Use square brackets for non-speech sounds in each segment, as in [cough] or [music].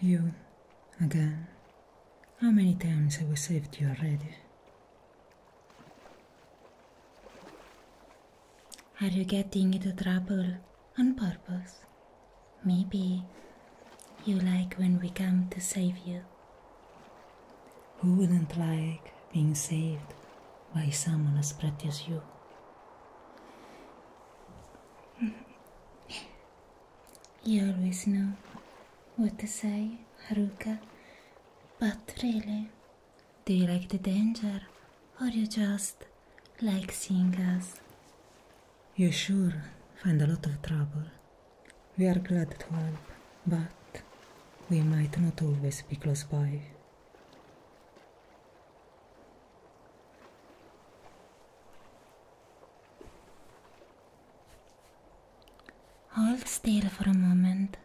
You, again. How many times have we saved you already? Are you getting into trouble on purpose? Maybe you like when we come to save you. Who wouldn't like being saved by someone as pretty as you? [laughs] You always know what to say, Haruka, but really, do you like the danger or you just like seeing us? You sure find a lot of trouble. We are glad to help, but we might not always be close by. Hold still for a moment.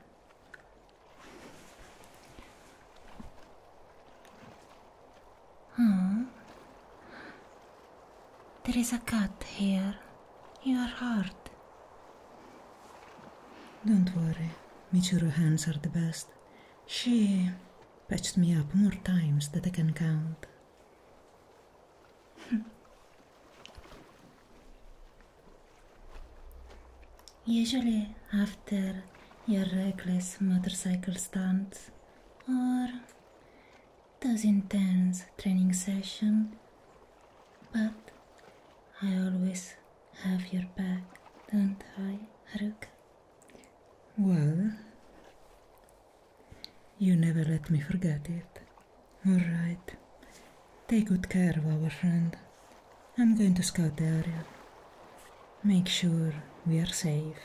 Oh, there is a cat here. You're heart. Don't worry, Michiru hands are the best. She patched me up more times than I can count. [laughs] Usually after your reckless motorcycle stunts or those intense training sessions, but I always have your back, don't I, Haruka? Well, you never let me forget it. Alright, take good care of our friend. I'm going to scout the area. Make sure we are safe.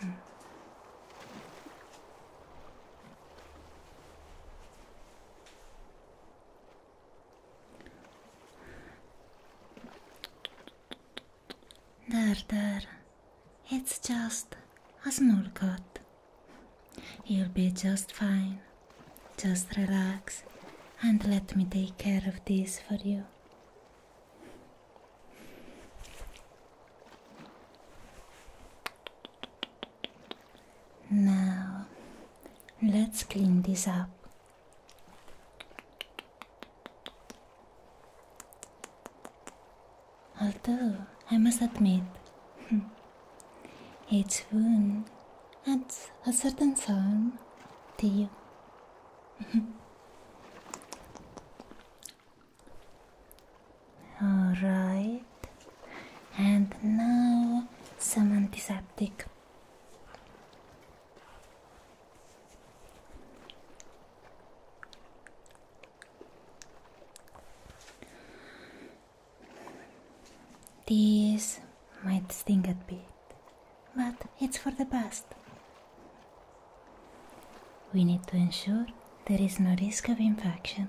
Hmm. There, there. It's just a small cut. You'll be just fine. Just relax and let me take care of this for you. Now, let's clean this up. Although, I must admit, [laughs] its wound adds a certain charm to you. [laughs] Alright. And now some antiseptic. This might sting a bit, but it's for the best. We need to ensure there is no risk of infection.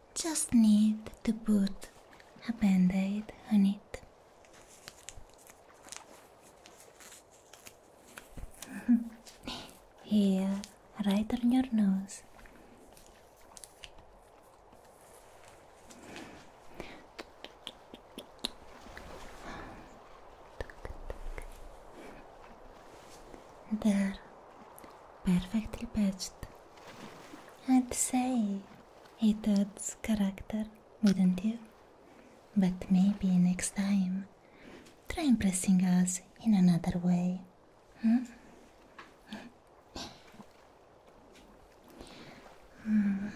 just need to put a band-aid on it. [laughs] Here, right on your nose. They're perfectly patched. I'd say it's does character, wouldn't you? But maybe next time, try impressing us in another way. Hmm? Hmm.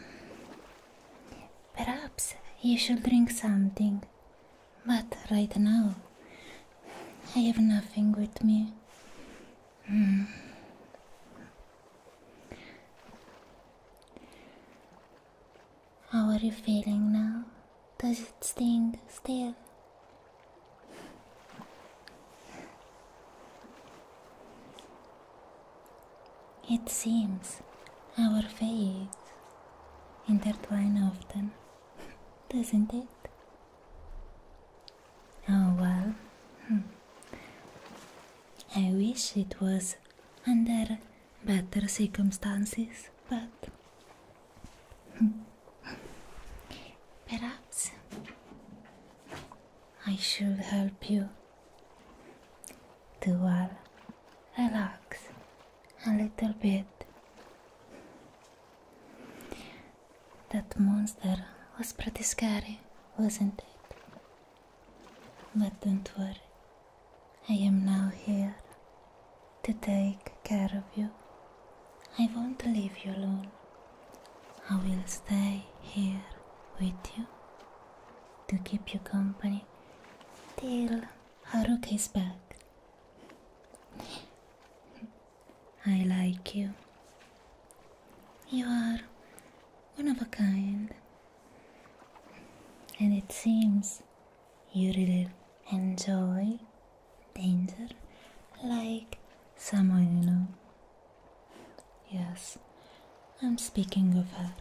Perhaps you should drink something, but right now I have nothing with me. Hmm. How are you feeling now? Does it sting still? It seems our fates intertwine often, [laughs] doesn't it? Oh well. Hmm. I wish it was under better circumstances, but hmm. perhaps I should help you to uh, relax a little bit. That monster was pretty scary, wasn't it? But don't worry, I am now here to take care of you. I won't leave you alone. I will stay here with you to keep you company till Haruka is back. I like you. You are one of a kind. And it seems you really enjoy danger like someone you know. Yes, I'm speaking of her.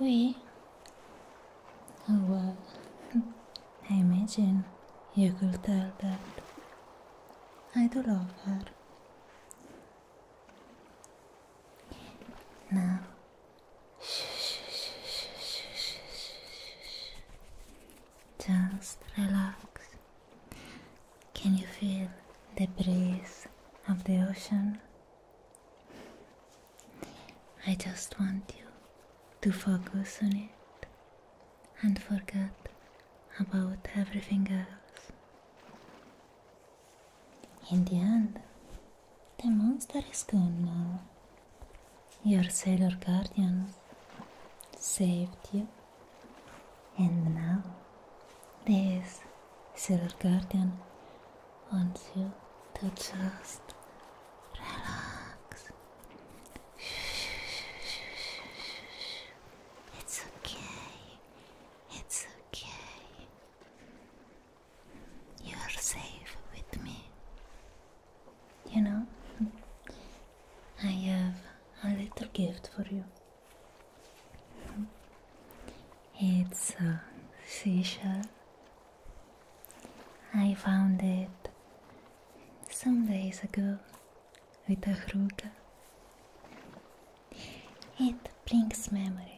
We. Oh well, I imagine you could tell that I do love her. Now, just relax. Can you feel the breeze of the ocean? I just want you to focus on it and forget about everything else. In the end, the monster is gone now. Your sailor guardian saved you, and now this sailor guardian wants you to just relax it's okay. It's okay. You are safe with me. You know, I have a little gift for you. It's a seashell. I found it some days ago with a Hruka. It brings memories.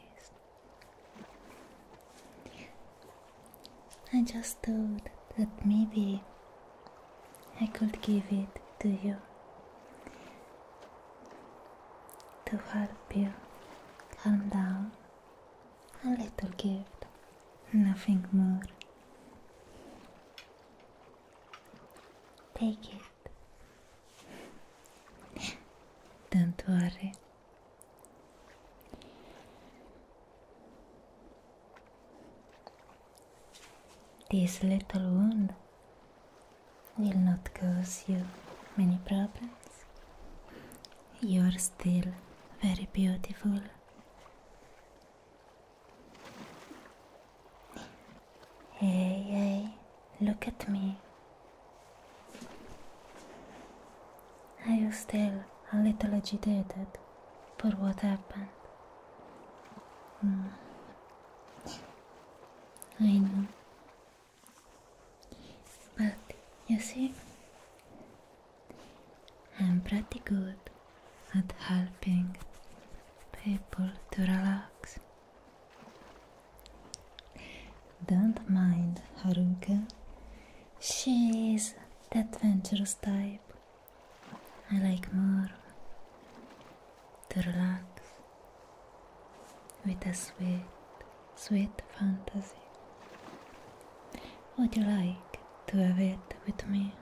I just thought that maybe I could give it to you to help you calm down. A little gift, nothing more. Take it. Don't worry. This little wound will not cause you many problems. You are still very beautiful. Hey, hey, look at me. Are you still a little agitated for what happened? Hmm. I know. But you see, I'm pretty good at helping people to relax. Don't mind Haruka. she's the adventurous type. I like more to relax with a sweet, sweet fantasy. Would you like to have it with me?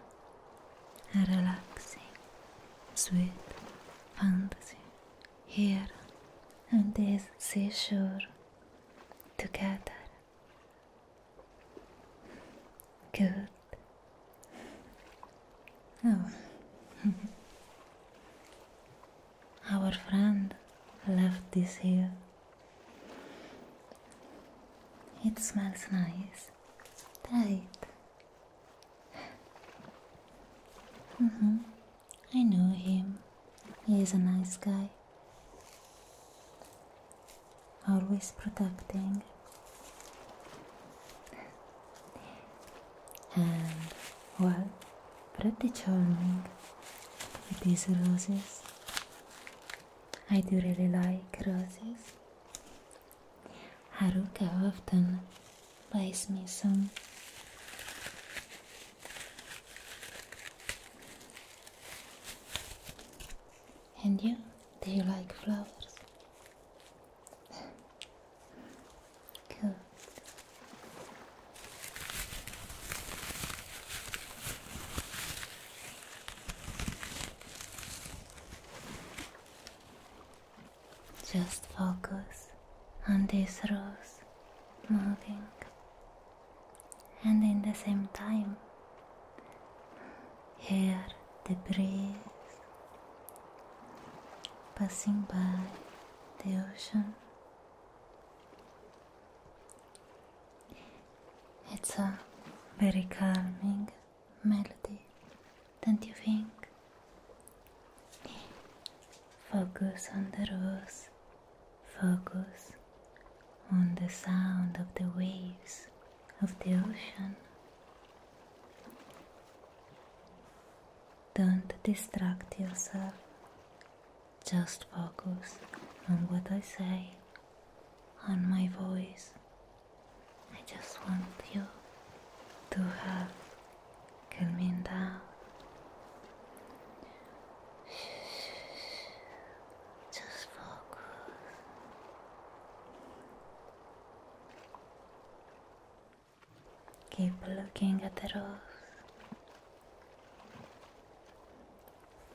a relaxing, sweet fantasy here on this seashore together. Good. Oh. [laughs] Our friend left this here. It smells nice. Try Mm -hmm. I know him. He is a nice guy. Always protecting. And, well, pretty charming with these roses. I do really like roses. Haruka often buys me some. And you, do you like flowers? cool. Just focus on these rose moving and in the same time hear the breeze passing by the ocean it's a very calming melody, don't you think? Focus on the rose, focus on the sound of the waves of the ocean. Don't distract yourself, just focus on what I say on my voice. I just want you to have calming down. Just focus. Keep looking at the rose.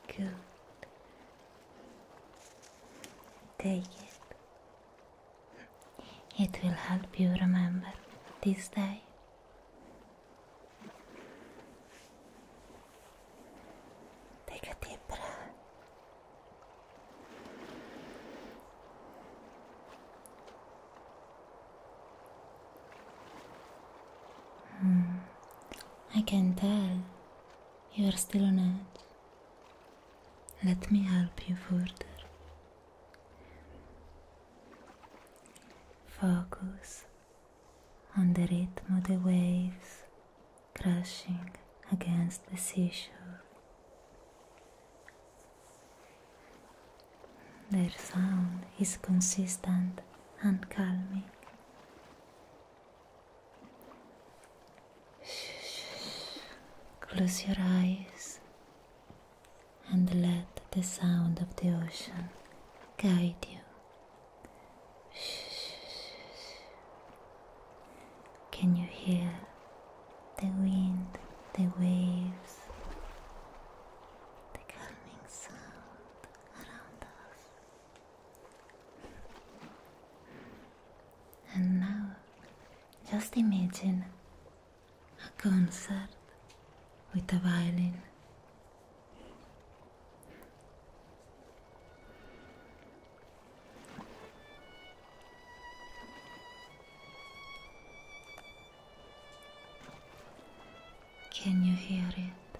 Good. Take it. It will help you remember this day. Take a deep breath. Hmm. I can tell you are still on edge. Let me help you further. Focus on the rhythm of the waves crashing against the seashore. Their sound is consistent and calming. Close your eyes and let the sound of the ocean guide you. Can you hear the wind, the waves, the calming sound around us? And now, just imagine a concert with a violin. Can you hear it?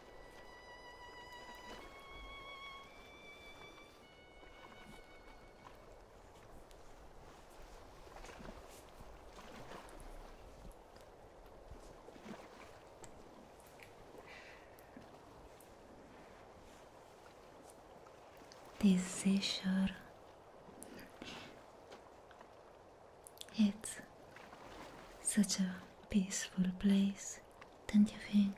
This seashore it's such a peaceful place don't you think?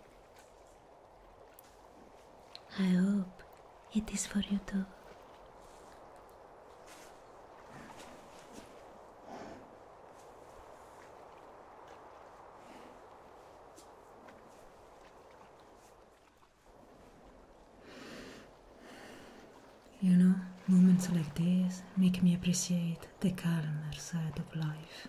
I hope it is for you too. You know, moments like this make me appreciate the calmer side of life.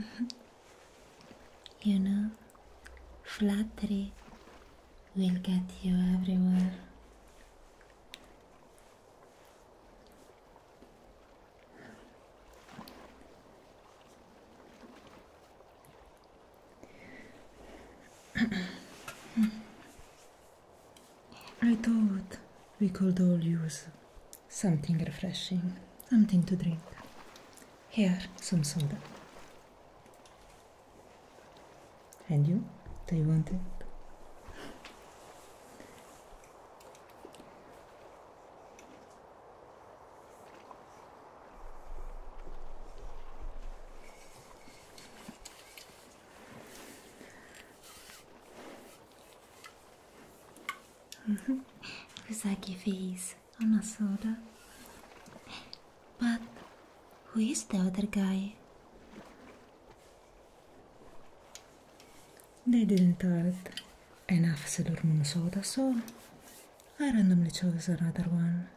Mm-hmm. you know, flattery will get you everywhere. [clears throat] Mm-hmm. I thought we could all use something refreshing, something to drink. Here, some soda. And you? Do you want it? Apesar que fez a Nasura. But who is the other guy? They didn't have enough Sailor Moon soda, so I randomly chose another one.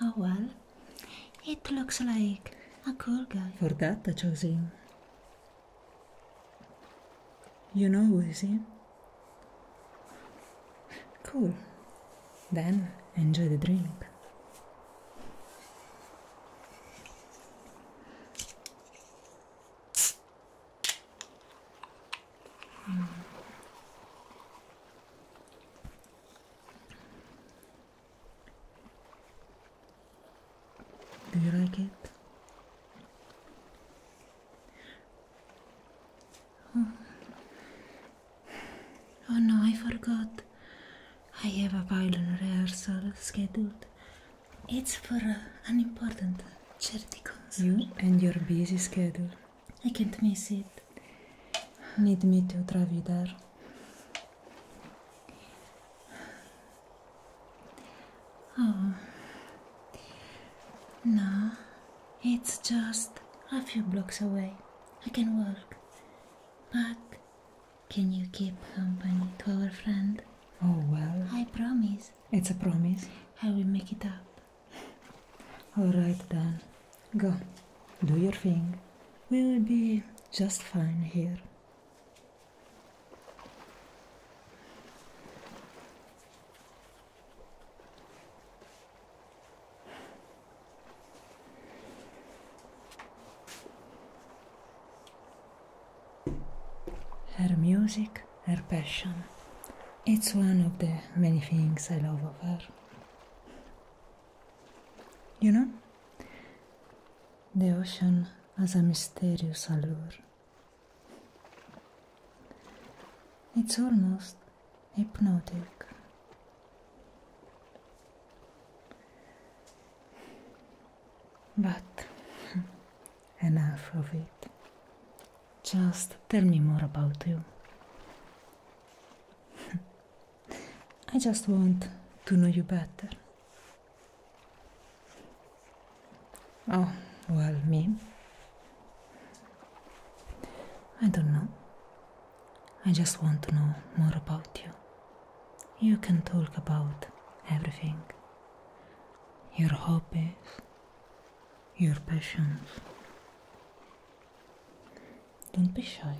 Oh well, it looks like a cool guy. Forgot that, I chose You know who is Cool. Then enjoy the drink. Do you like it? Oh. oh. no, I forgot. I have a violin rehearsal scheduled. It's for uh, an important uh, charity concert. You and your busy schedule. I can't miss it. Need me to drive travidar. Oh. No, it's just a few blocks away. I can walk. But can you keep company to our friend? Oh, well. I promise. It's a promise. I will make it up. All right, then. Go, do your thing. We will be just fine here. Her music, her passion. It's one of the many things I love of her. You know? The ocean has a mysterious allure. It's almost hypnotic. But [laughs] enough of it. Just tell me more about you. [laughs] I just want to know you better. Oh, well, me? I don't know. I just want to know more about you. You can talk about everything your hobbies, your passions. Don't be shy.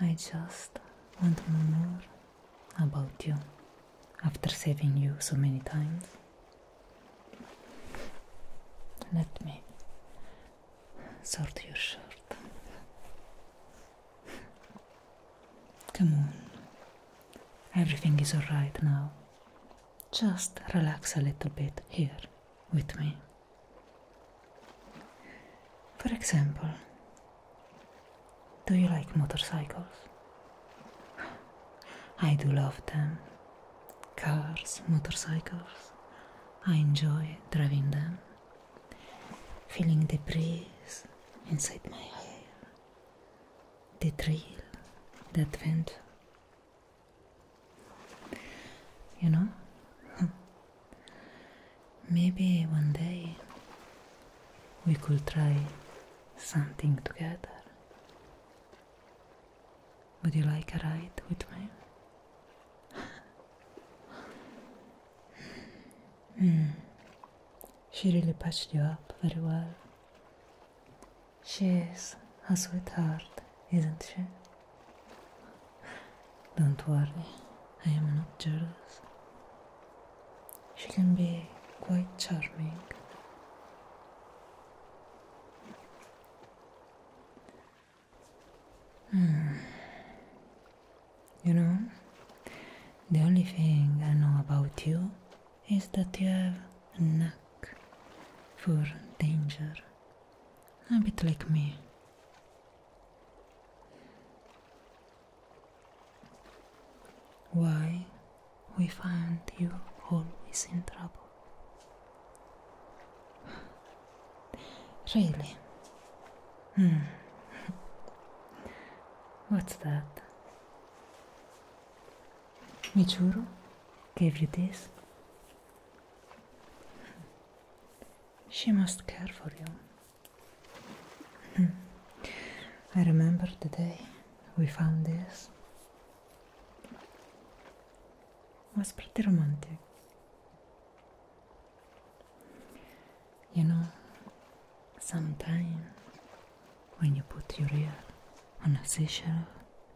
I just want to know more about you after saving you so many times. Let me sort your shirt. Come on. Everything is alright now. Just relax a little bit here with me. For example, do you like motorcycles? I do love them. Cars, motorcycles. I enjoy driving them, feeling the breeze inside my hair, the thrill, that adventure. You know? [laughs] Maybe one day we could try something together. Would you like a ride with me? [laughs] Hmm. She really patched you up very well. She is a sweetheart, isn't she? Don't worry, I am not jealous. She can be quite charming. Hmm. You know, the only thing I know about you is that you have a knack for danger a bit like me. Why we find you always in trouble. [sighs] Really? Hmm. [laughs] What's that? Michuro gave you this? She must care for you. Hmm. I remember the day we found this. was pretty romantic. You know, sometimes when you put your ear on a seashell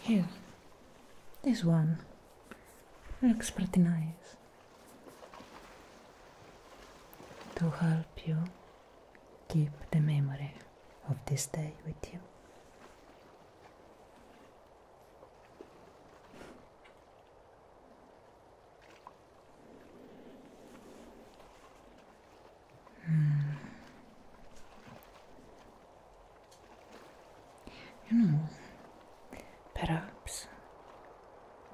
Here, this one looks pretty nice. To help you keep the memory of this day with you. Hmm. You know, perhaps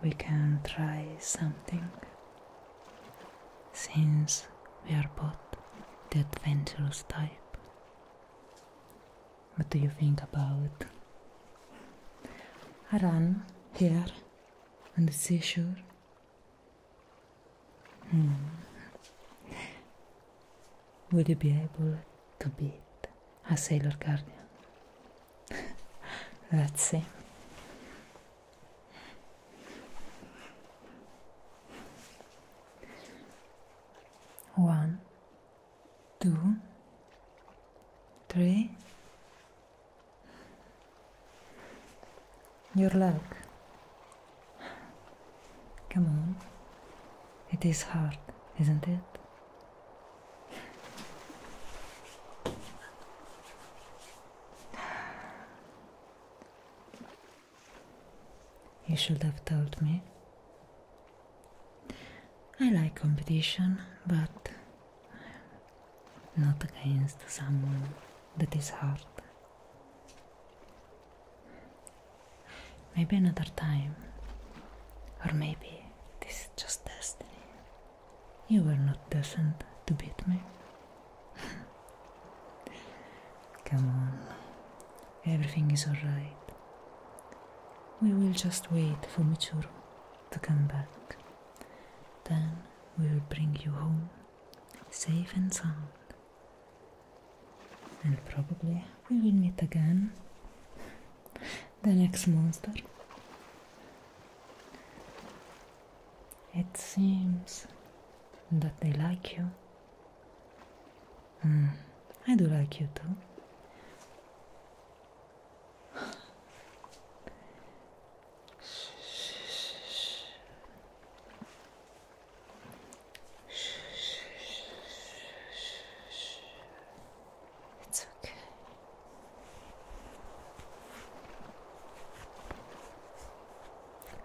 we can try something since we are both the adventurous type. What do you think about a run here on the seashore? Hmm. Will you be able to beat a sailor guardian? [laughs] Let's see. One, two, three. Your luck Come on. It is hard, isn't it? You should have told me. I like competition, but not against someone that is hard. Maybe another time. Or maybe this is just destiny. You were not destined to beat me. [laughs] Come on, everything is alright. We will just wait for Michuru to come back. Then we will bring you home, safe and sound. And probably we will meet again the next monster. It seems that they like you. Hmm, I do like you too. [sighs] It's okay.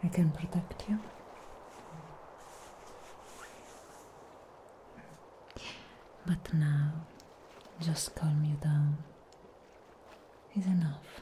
I can protect you. But now, just calm you down is enough.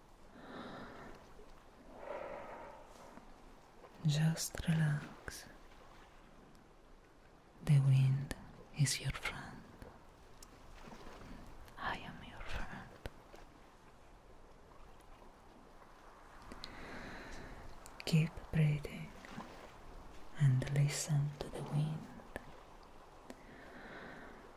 Just relax. The wind is your friend. I am your friend. Keep breathing and listen to the wind.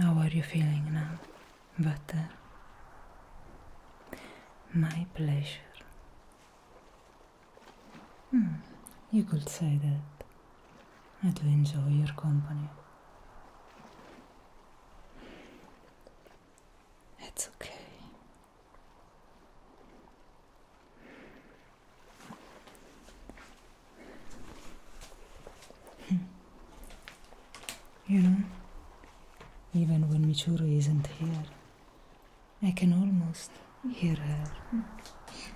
How are you feeling now? but my pleasure. Hmm, you could say that. I do enjoy your company. It's okay. Hmm. You know, even when Michuru isn't here, I can almost hear her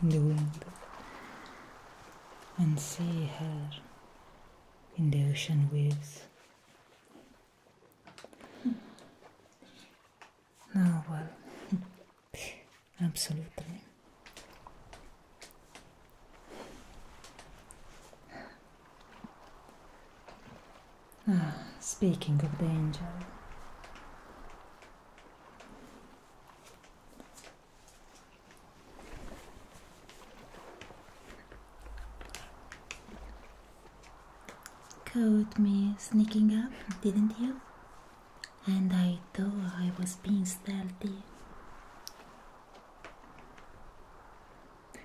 in the wind and see her in the ocean waves. Now, well, [laughs] absolutely. Ah, speaking of the angel. Caught me sneaking up, didn't you? And I thought I was being stealthy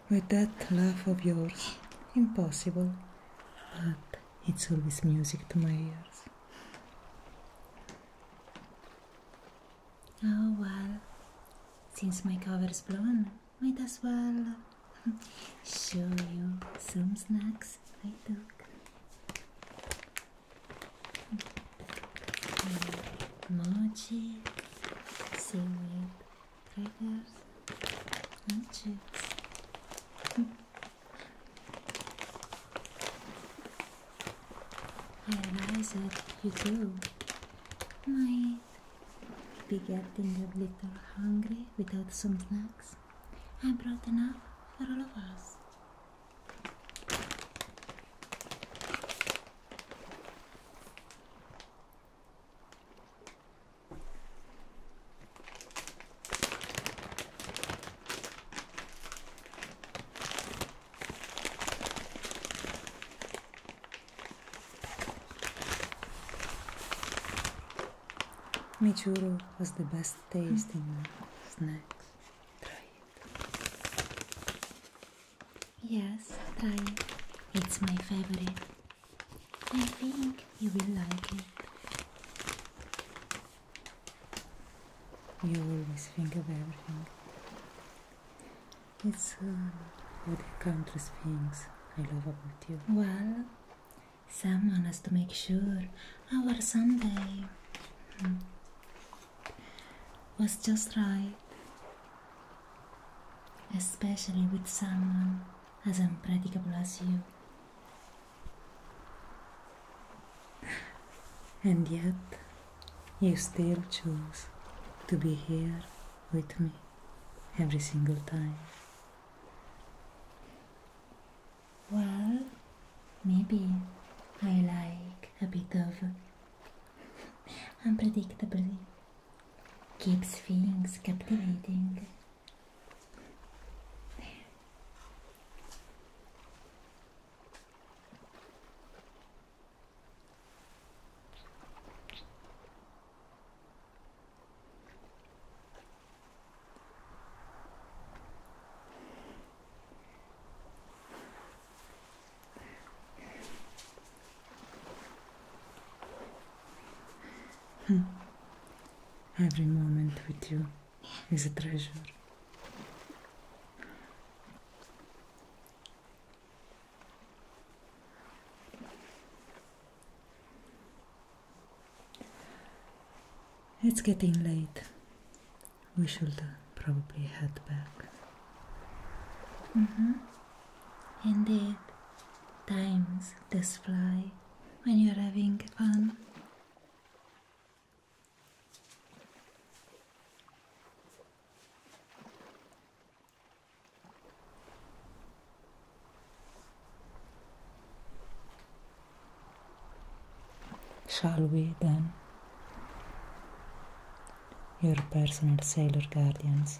with that laugh of yours. Impossible, but it's always music to my ears. Oh well, since my cover's blown, might as well [laughs] show you some snacks I took. Mochi, seaweed, fingers and cheeks. [laughs] I realize that you too might be getting a little hungry without some snacks. I brought enough for all of us. Michuru was the best tasting snacks. Try it. Yes, It's my favorite. I think you will like it. You always think of everything. It's uh, what the country things I love about you. Well, someone has to make sure our Sunday hmm, was just right. especially with someone as unpredictable as you. And yet, you still choose to be here with me every single time. Well, maybe I like a bit of [laughs] unpredictability. keeps things captivating. Hmm. Every moment with you is a treasure. It's getting late. We should probably head back. Mm -hmm. Indeed, times does fly when you're having fun. Shall we then? Your personal sailor guardians.